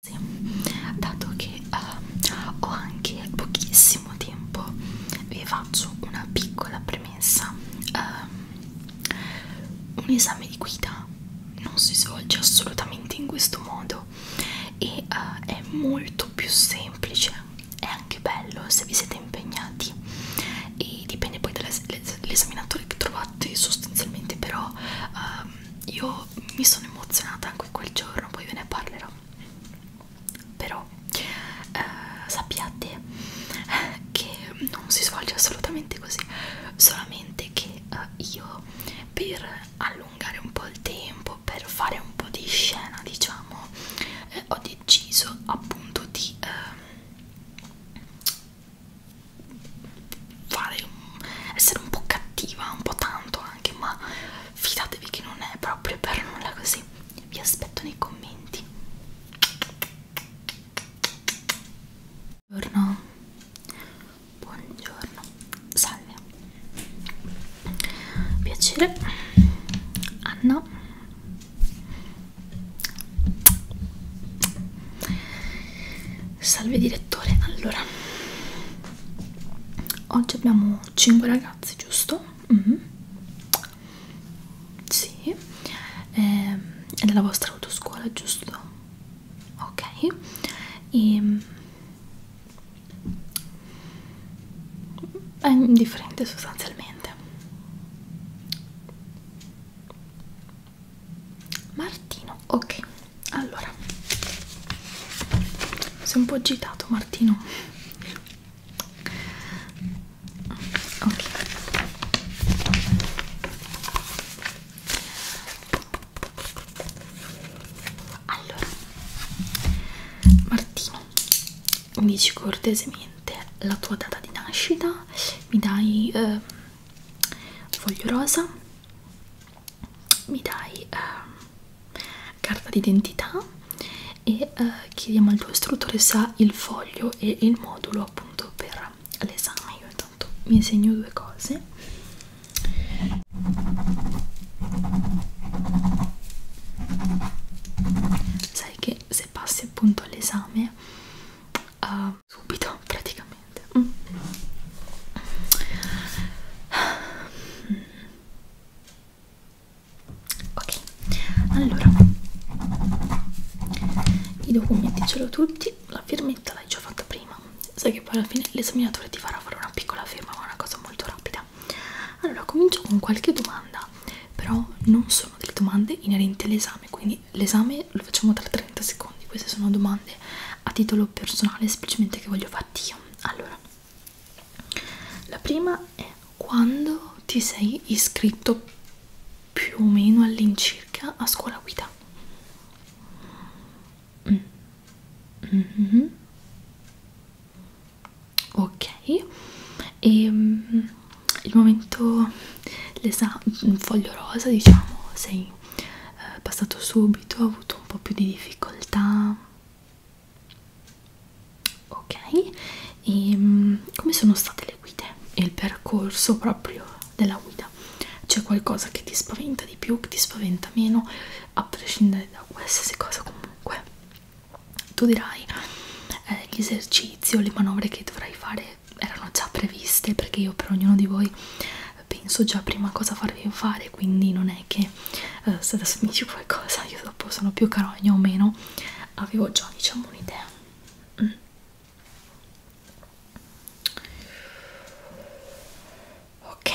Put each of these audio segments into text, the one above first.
Sì, dato che uh, ho anche pochissimo tempo, vi faccio una piccola premessa. Uh, un esame di guida non si svolge assolutamente in questo modo e uh, è molto più semplice, è anche bello se vi siete impegnati e dipende poi dall'esaminatore che trovate sostanzialmente però uh, io mi sono emozionata anche quel giorno, poi ve ne parlerò. Però eh, sappiate eh, che non si svolge assolutamente così, solamente che eh, io per allungare un po' il tempo, per fare un po' di scena, diciamo, eh, ho deciso appunto di eh, fare un, essere un po' cattiva, un po' tanto anche, ma fidatevi che non è proprio per nulla così. Vi aspetto nei commenti. Buongiorno. Buongiorno. Salve. Piacere. Anna. Salve direttore. Allora oggi abbiamo 5 ragazzi giusto? Mm -hmm. sì eh, è della vostra autoscuola giusto? ok e ehm, è indifferente sostanzialmente Martino, ok allora sei un po' agitato Martino ok allora Martino mi dici cortesemente la tua data di nascita mi dai eh, foglio rosa mi dai eh, carta d'identità e eh, chiediamo al tuo istruttore se ha il foglio e il modulo appunto per l'esame. Io intanto mi segno due cose. Sai che se passi appunto all'esame uh, subito praticamente veramente mm. ok allora i documenti ce l'ho tutti la firmetta l'hai già fatta prima sai che poi alla fine l'esaminatore ti farà fare una piccola firma ma è una cosa molto rapida allora comincio con qualche domanda però non sono delle domande inerenti all'esame quindi l'esame lo facciamo tra 30 secondi queste sono domande a titolo personale semplicemente che voglio fatti io allora la prima è quando ti sei iscritto più o meno all'incirca a scuola guida mm. Mm -hmm. ok e um, il momento l'esame mm, foglio rosa diciamo sei eh, passato subito ho avuto un po' più di difficoltà ok e mm, come sono state le guide e il percorso proprio della guida c'è qualcosa che ti spaventa di più che ti spaventa meno a prescindere da qualsiasi cosa comunque tu dirai eh, gli esercizi o le manovre che dovrai fare erano già previste perché io per ognuno di voi penso già prima cosa farvi fare quindi non è che eh, se adesso mi dici qualcosa io dopo sono più carogna o meno avevo già diciamo un'idea mm. ok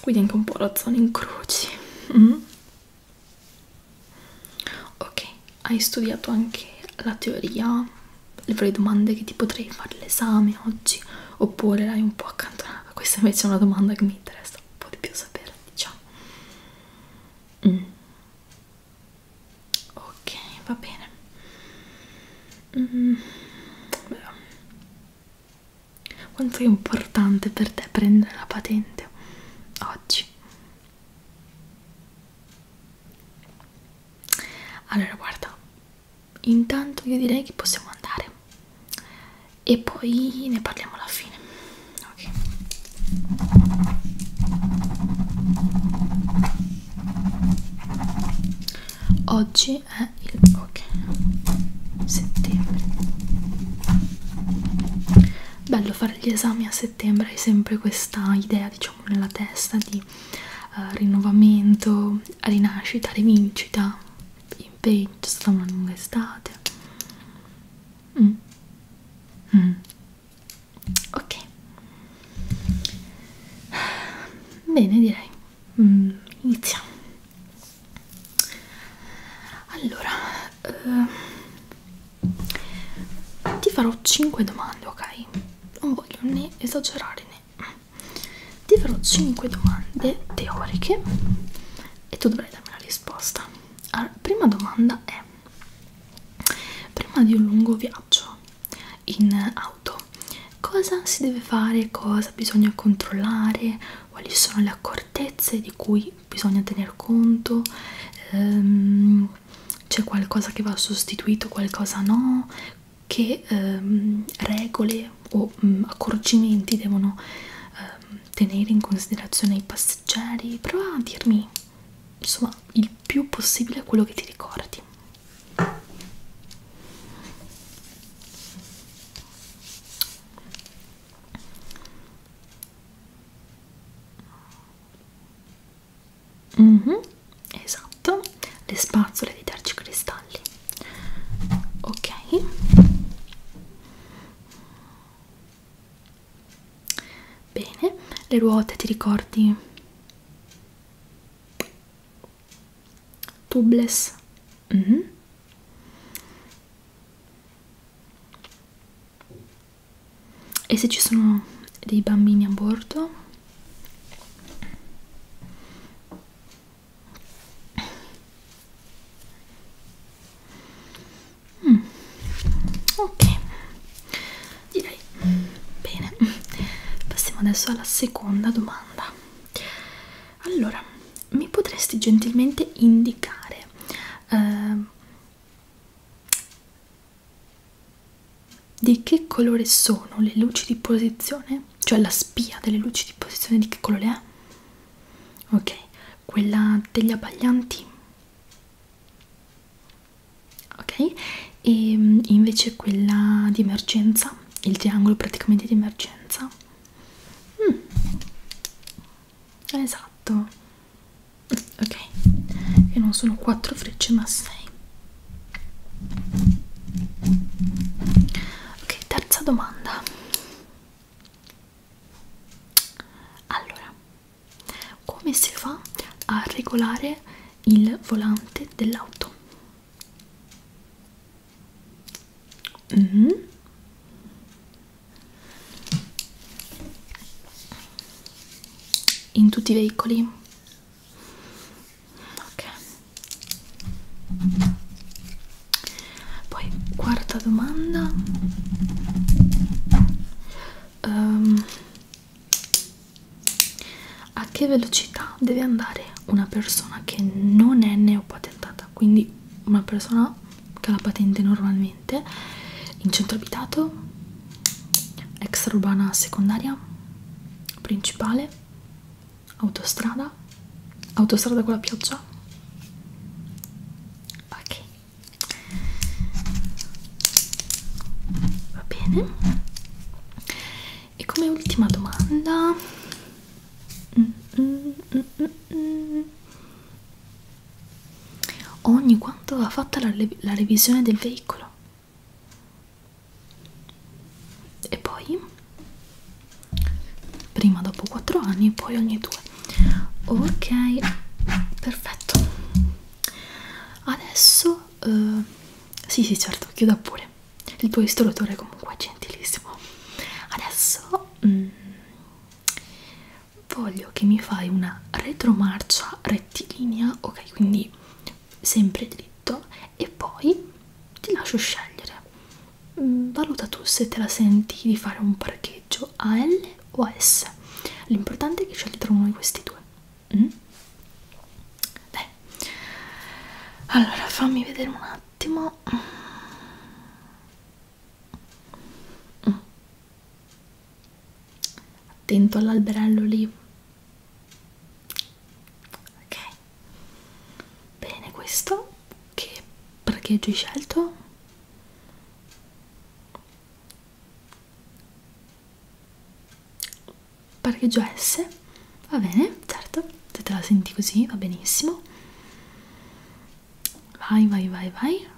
quindi anche un po' la zona incroci mm. ok hai studiato anche la teoria le varie domande che ti potrei fare l'esame oggi oppure l'hai un po' accantonata? Questa invece è una domanda che mi interessa un po' di più sapere, diciamo. Mm. Ok, va bene. Mm. Quanto è importante per te prendere la patente oggi? Allora, guarda, intanto io direi che possiamo andare e poi ne parliamo alla fine ok oggi è il ok settembre bello fare gli esami a settembre hai sempre questa idea diciamo nella testa di uh, rinnovamento rinascita rivincita impegni, c'è stata una lunga estate mm. Mm. ok bene direi mm. iniziamo allora eh, ti farò 5 domande ok non voglio né esagerare né ti farò 5 domande teoriche e tu dovrai darmi la risposta. Allora, prima domanda è: prima di un lungo viaggio in auto, cosa si deve fare, cosa bisogna controllare, quali sono le accortezze di cui bisogna tener conto? Ehm, c'è qualcosa che va sostituito, qualcosa no? che ehm, regole o mh, mm, accorgimenti devono ehm, tenere in considerazione i passeggeri prova a dirmi insomma il più possibile quello che ti ricordi Mm -hmm, esatto, le spazzole di terci cristalli ok bene le ruote ti ricordi tubeless mm -hmm. e se ci sono dei bambini a bordo Mm. Ok, direi bene. Passiamo adesso alla seconda domanda. Allora, mi potresti gentilmente indicare eh, di che colore sono le luci di posizione cioè la spia delle luci di posizione di che colore è? Ok, quella degli abbaglianti. Ok, e mm, invece quella di emergenza, il triangolo praticamente di emergenza. Mm. Esatto. Ok, e non sono 4 frecce ma 6 ok terza domanda allora come si fa a regolare il volante dell'auto mm -hmm. in tutti i veicoli ok poi quarta domanda um, a che velocità deve andare una persona che non è neopatentata quindi una persona che ha la patente normalmente in centro abitato extraurbana secondaria principale Autostrada? Autostrada con la pioggia? Ok. Va bene. E come ultima domanda... Mm, mm, mm, mm, mm. Ogni quanto va fatta la, la revisione del veicolo? E poi? prima dopo 4 anni poi ogni 2 ok perfetto adesso uh, sì sì certo chiuda pure il tuo istruttore comunque è gentilissimo adesso mm, voglio che mi fai una retromarcia rettilinea ok quindi sempre dritto e poi ti lascio scegliere mm, valuta tu se te la senti di fare un parcheggio a L o a S l'importante è che scegli tra uno di questi due mm? Beh. allora fammi vedere un attimo mm. attento all'alberello lì ok Bene, questo che parcheggio hai scelto? Parcheggio S? Va bene, certo, se te la senti così va benissimo. Vai, vai, vai, vai.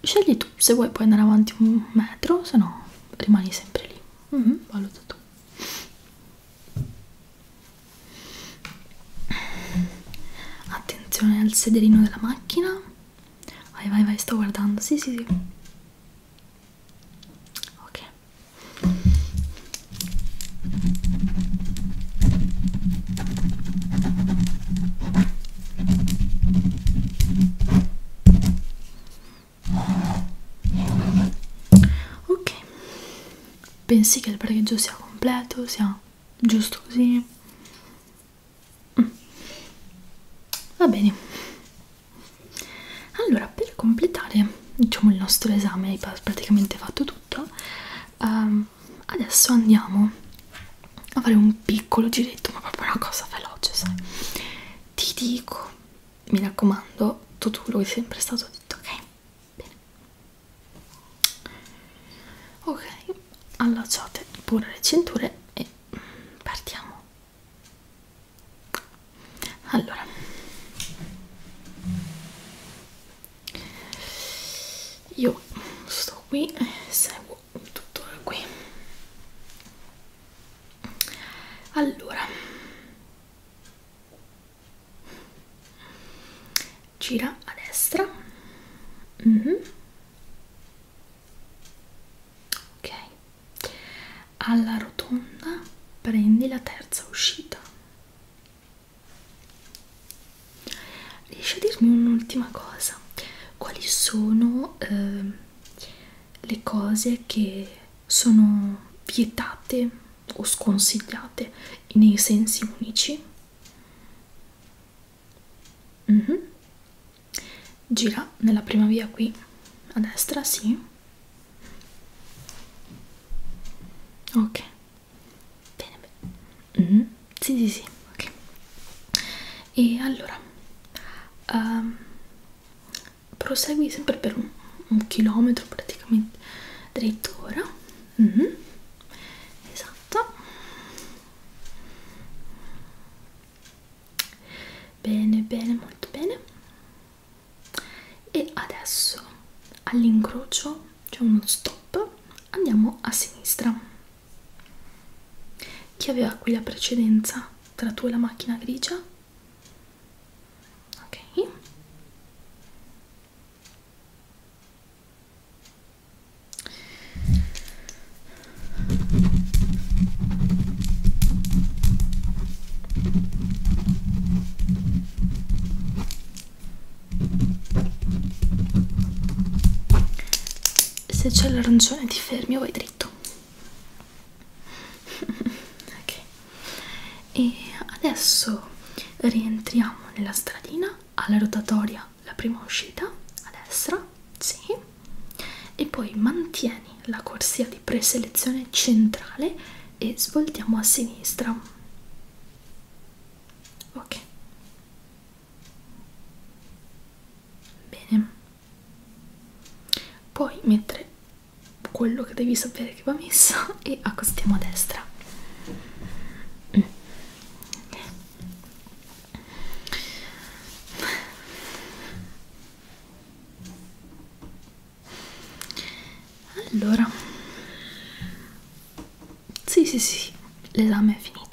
Scegli tu, se vuoi puoi andare avanti un metro, se no rimani sempre lì. Mm -hmm, valuta tu attenzione al sederino della macchina vai vai vai sto guardando sì sì sì ok ok pensi che il parcheggio sia completo, sia giusto così? Mm. Va bene. Allora, per completare, diciamo, il nostro esame è praticamente fatto tutto, um, adesso andiamo a fare un piccolo giretto, ma proprio una cosa veloce, sai? Ti dico, mi raccomando, tutto quello che è sempre stato detto, ok? bene ok allacciate pure le cinture e partiamo allora io sto qui e seguo tutto da qui allora gira a destra mm -hmm. ok alla rotonda prendi la terza uscita riesci a dirmi un'ultima cosa quali sono eh, le cose che sono vietate o sconsigliate nei sensi unici mm -hmm. gira nella prima via qui a destra sì ok bene, bene. Mm -hmm. sì sì sì ok e allora um, prosegui sempre per un, un chilometro praticamente drittura mm -hmm. esatto bene bene molto bene e adesso all'incrocio c'è uno stop andiamo a sinistra chi aveva qui la precedenza tra tu e la macchina grigia ok se c'è l'arancione ti fermi o vai dritto? ok e adesso rientriamo nella stradina alla rotatoria la prima uscita a destra sì e poi mantieni la corsia di preselezione centrale e svoltiamo a sinistra ok bene puoi mettere quello che devi sapere che va messo e accostiamo a destra mm. Allora, sì, sì, sì, l'esame è finito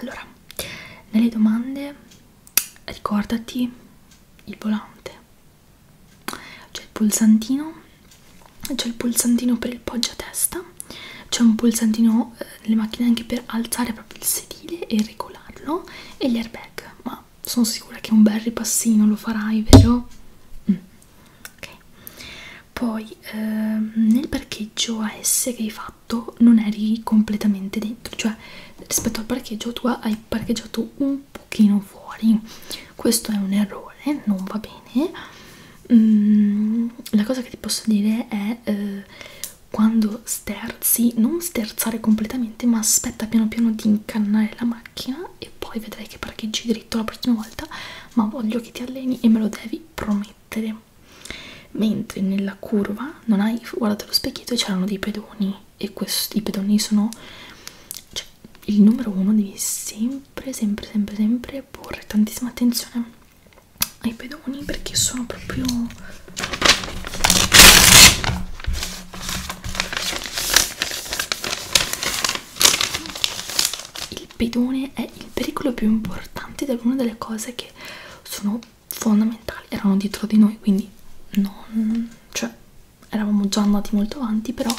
allora nelle domande ricordati il volante c'è il pulsantino c'è il pulsantino per il poggio a testa c'è un pulsantino eh, nelle macchine anche per alzare proprio il sedile e regolarlo e gli airbag ma sono sicura che un bel ripassino lo farai vero? Mm. ok poi eh, nel parcheggio AS che hai fatto fatto non eri completamente dentro cioè rispetto al parcheggio tu hai parcheggiato un pochino fuori questo è un errore non va bene mm, la cosa che ti posso dire è eh, quando sterzi non sterzare completamente ma aspetta piano piano di incannare la macchina e poi vedrai che parcheggi dritto la prossima volta ma voglio che ti alleni e me lo devi promettere mentre nella curva non hai guardato lo specchietto e c'erano dei pedoni e questi i pedoni sono cioè, il numero uno devi sempre sempre sempre sempre porre tantissima attenzione ai pedoni perché sono proprio il pedone è il pericolo più importante ed è una delle cose che sono fondamentali erano dietro di noi quindi non, cioè, eravamo già andati molto avanti però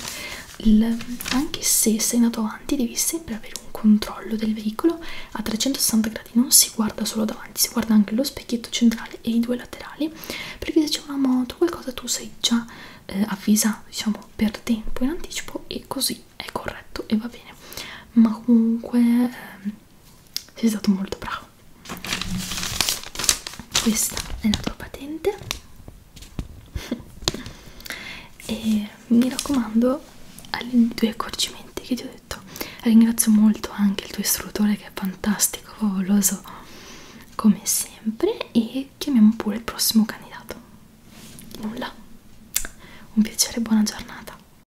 il, anche se sei andato avanti devi sempre avere un controllo del veicolo a 360 gradi non si guarda solo davanti si guarda anche lo specchietto centrale e i due laterali perché se c'è una moto qualcosa tu sei già eh, avvisato diciamo per tempo in anticipo e così è corretto e va bene ma comunque ehm, sei stato molto bravo questa è la tua patente e mi raccomando ai tuoi accorgimenti che ti ho detto ringrazio molto anche il tuo istruttore che è fantastico favoloso come sempre e chiamiamo pure il prossimo candidato nulla un piacere buona giornata